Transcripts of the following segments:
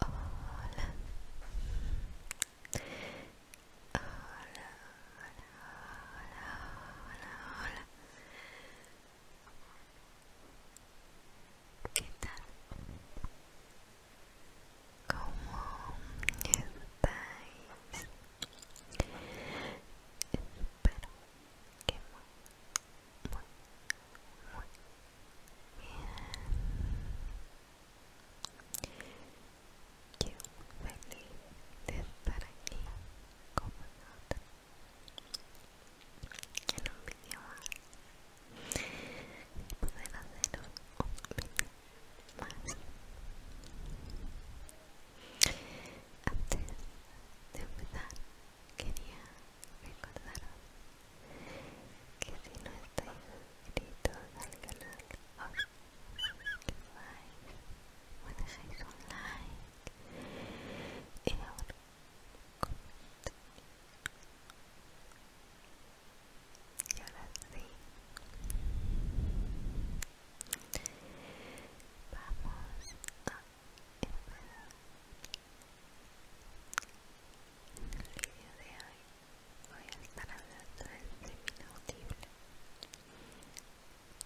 Hola. Hola, hola, hola, hola, hola. ¿Qué tal? ¿Cómo estáis? Espero que muy, muy, muy bien. Yo feliz de estar aquí con vosotros en un vídeo más y poder hacer un vídeo más antes de empezar, quería recordaros que si no estáis suscritos al canal, os suscribáis, me dejáis un like y ahora y ahora sí, Vamos a empezar el vídeo de hoy. Voy a estar hablando del semi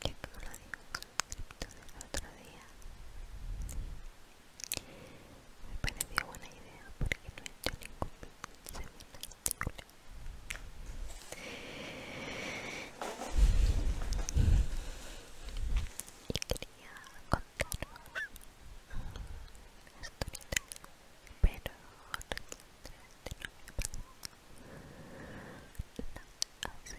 Que creo que lo digo suscripto del otro día. Me pareció buena idea porque no he hecho ningún semi y quería contaros una historieta, pero no me no, de Tampoco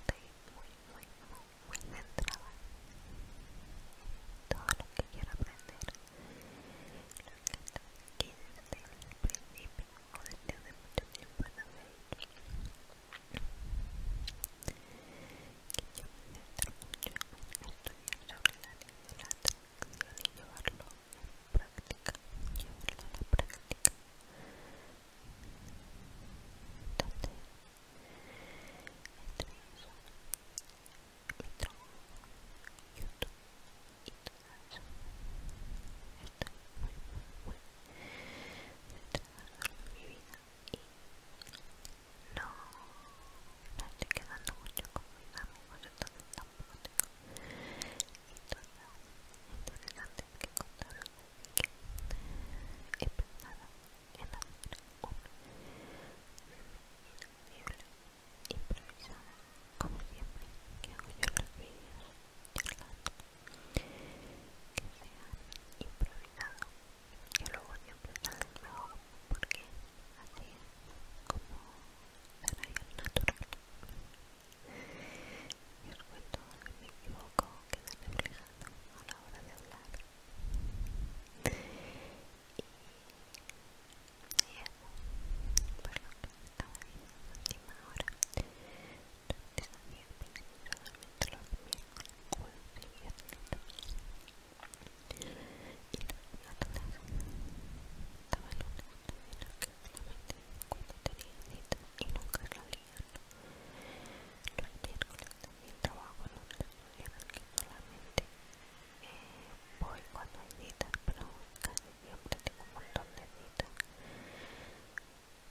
estoy muy, muy, muy, muy centrada en todo lo que quiera aprender. Lo intento aquí desde el principio o desde hace mucho tiempo en la fecha que yo me centro mucho en estudiar sobre la ley de la atracción y llevarlo a la práctica, llevarlo a la práctica. Entonces, entre eso, mi trabajo, YouTube y todo eso, estoy muy, muy, muy centrada en mi vida y no, no estoy quedando mucho con mis amigos, entonces tampoco tengo historias interesantes que contaros Así que he pensado en hacer un libro improvisado como siempre que hago yo los vídeos charlando que sea improvisado a luego en salen mejor porque así es como será el natural y os cuento que me equivoco queda reflejado a la hora de hablar y, y eso por lo que estaba viendo en la última hora antes había pensado solamente los miércoles jueves y viernes y otra vez estaba en un el lunes también que solamente cuando tenía citas y nunca lo leía Ayer con el trabajo en un estudio en el que solamente voy cuando hay citas, pero casi siempre tengo un montón de citas.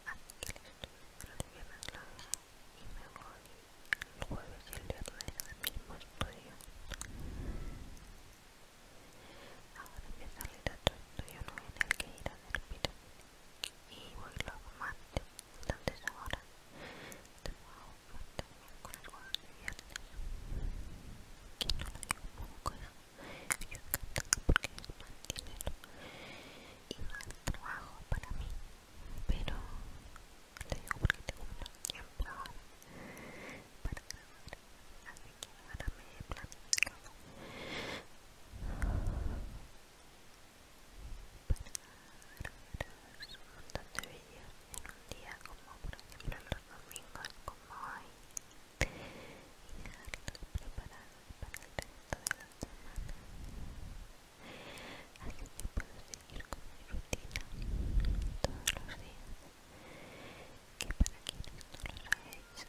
Así que el estudio el viernes la y me voy el jueves y el viernes al mismo estudio. Ahora empieza a leer otro estudio nuevo en el que ir a hacer pirámides y voy luego martes, entonces ahora trabajo martes, con jueves y viernes que no lo digo poco, yo encantado porque es más dinero y más trabajo para mí pero lo digo porque tengo menos tiempo ahora para grabar así que ahora me he planificado pararos un montón de vídeos en un día como por ejemplo los domingos como hoy y dejarlos preparados para el resto de la semana así que puedo seguir con mi rutina todos los días que para quienes no lo hayáis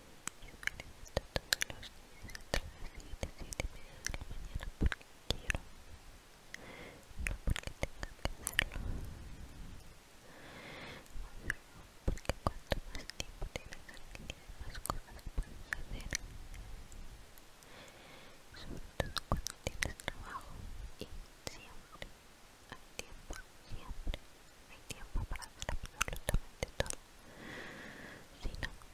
Yo me levanto todos los días a las 7 7 y media de la mañana porque quiero, no porque tenga que hacerlo. Porque cuanto más tiempo tienes aquí, más cosas puedes hacer. Sobre todo cuando tienes trabajo y siempre hay tiempo, siempre hay tiempo para hacer absolutamente todo. Si no,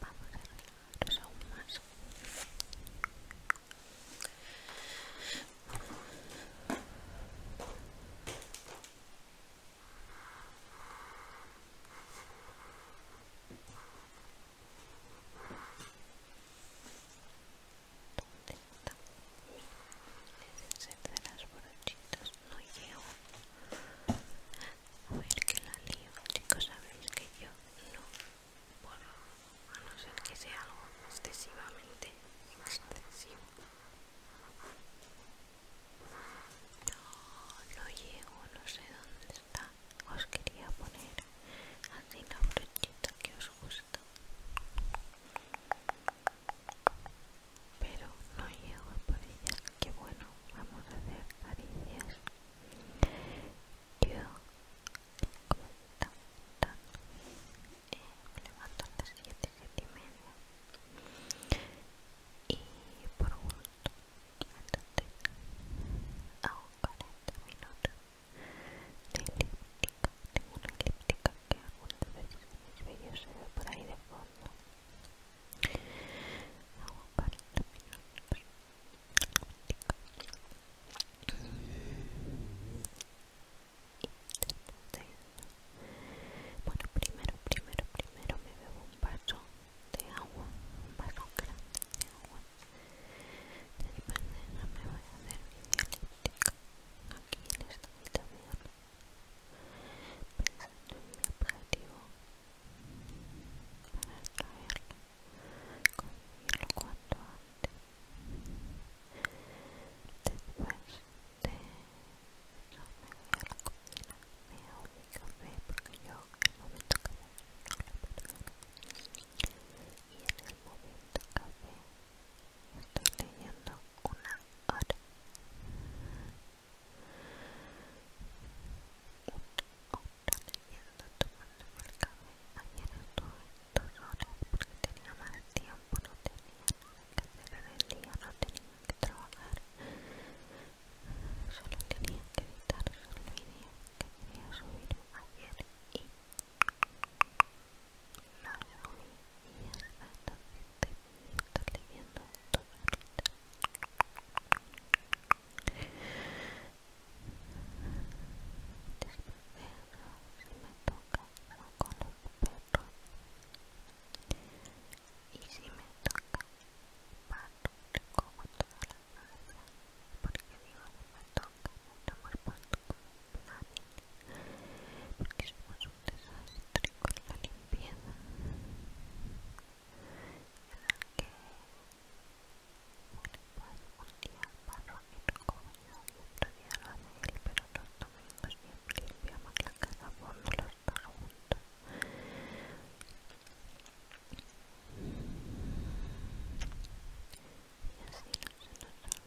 Vamos a relajarnos aún más. ¿Dónde está? de las brochitas, no llevo. A ver que la lío, chicos, sabéis que yo no puedo, a no ser que sea algo excesivamente excesivo. No, llego, no sé dónde está. Os quería poner así la brochita que os gusta pero no llego a por ella que bueno vamos a hacer caricias yo como tan me levanto a las 7 7 y media y por gusto entonces hago 40 minutos de elíptica, tengo una elíptica que algunas veces en mis vídeos se ve por ahí de fondo hago para terminar bueno, primero, primero, primero me bebo un vaso de agua, un vaso grande de agua. Después de eso me voy a hacer mi elíptica aquí en esta habitación pensando en mi objetivo para extraerlo, conseguirlo cuanto antes después de eso me voy a la cocina me hago mi café porque yo el momento que me no lo café y en el momento café estoy teniendo una hora una hora leyendo tomándome el café ayer estuve dos horas porque tenía más tiempo no tenía nada que hacer el día no tenía que trabajar solo tenía que editar el vídeo que quería subir ayer y y exactamente estoy leyendo esto carita después de eso si me toca no con los perros y si me toca pato te como toda la casa porque digo me toca me tomo el pato como porque somos un desastre con la limpieza y la que un día barro y recojo yo y otro día lo hace él pero los domingos siempre limpiamos la casa a los dos juntos y así no se nos olvida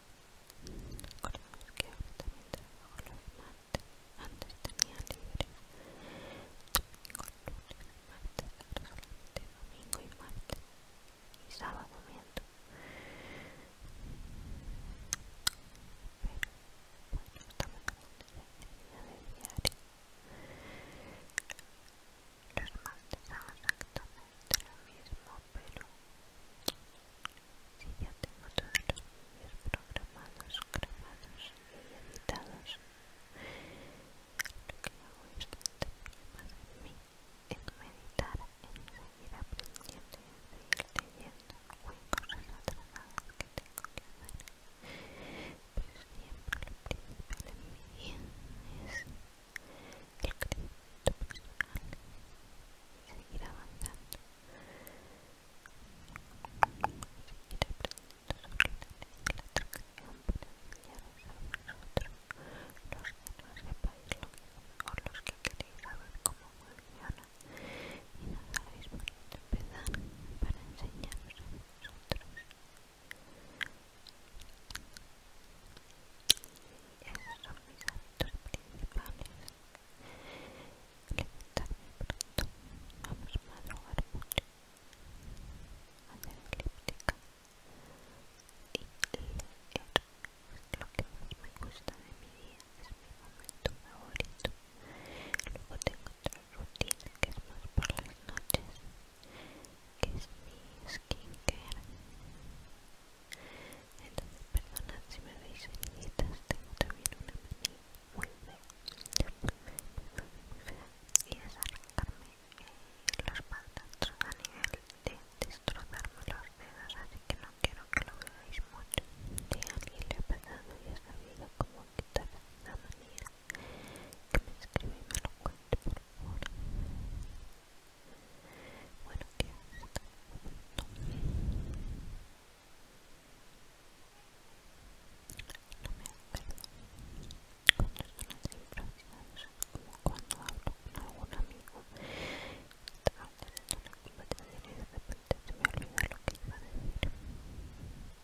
Recordemos que ahora también trabajo los martes, antes tenía libre domingo, lunes, martes, ahora solamente domingo y martes y sábado miento. Pero bueno, estamos hablando de la de diario. Los martes son también de lo mismo, pero si ya tengo todos los vídeos programados, grabados y editados, lo que hago es tanto más en mí, en meditar, en seguir aprendiendo y en seguir leyendo, o en cosas que tengo que hacer. Pero siempre lo principal en mí es el crecimiento personal avanzando. seguir aprendiendo sobre la a los que no sepáis lo que los que queréis saber cómo funciona y no sabéis por para enseñaros a y Esos son mis hábitos principales. Levantarme pronto, vamos a madrugar mucho, hacer elíptica y Es lo que más me gusta de mi día, es mi momento favorito. Luego tengo otra rutina que es más por las noches, que es mis skincare entonces perdonad si me veis ceñiditas tengo también una mini muy fea y es arrancarme eh, los pantalones a nivel de destrozarme los dedos así que no quiero que lo veáis mucho si alguien le ha pasado y ha sabido cómo quitar la manía que me escriba y me lo cuente por favor bueno, ¿qué No me acuerdo cuando son las infracciones, como cuando hablo con algún amigo. Estaba haciendo una conversación y de repente se me olvida lo que iba a decir.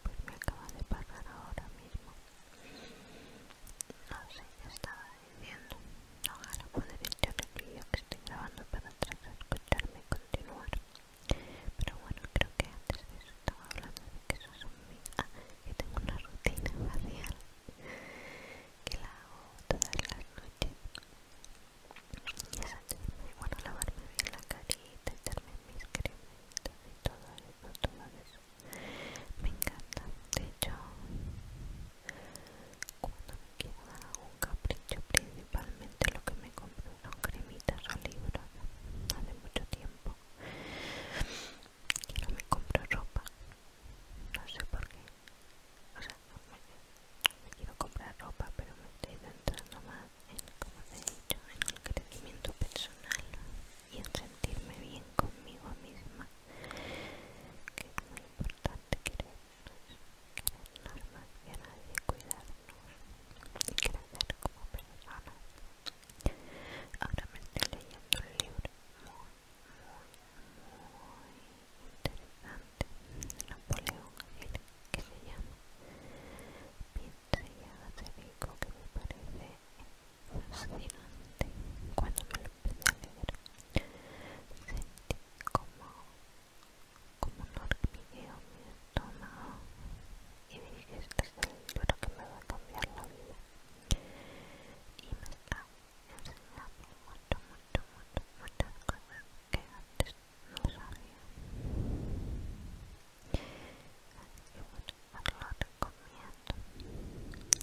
Pues me acaba de pasar ahora mismo. No sé, estaba Ahora Ojalá pueda el vídeo que estoy grabando para escucharme continuar. Pero bueno, creo que antes de eso estaba hablando de que eso es un... Ah, que tengo una rutina facial que la hago todas las noches. Y es así, bueno, lavarme bien la carita, darme mis crementos y todo eso, todo eso. Me encanta. De hecho, cuando me quiero dar algún capricho, principalmente lo que me compro son cremitas o libros. Hace mucho tiempo que no me compro ropa. No sé por qué. O sea, me, me quiero comprar ropa, pero me estoy centrando más en, como te he dicho, en el crecimiento personal y en sentirme bien conmigo misma, importante querernos, querernos más que nadie, cuidarnos y crecer como personas. Ahora me estoy leyendo un libro muy, muy, muy interesante de Napoleón Hill que se llama Piensa y hágase rico que me parece fascinante cuando me lo sentí como como un hormigueo en mi estómago y dije este es el libro que me va a cambiar la vida y me está enseñando mucho mucho mucho muchas cosas que antes no sabía así que bueno lo recomiendo mucho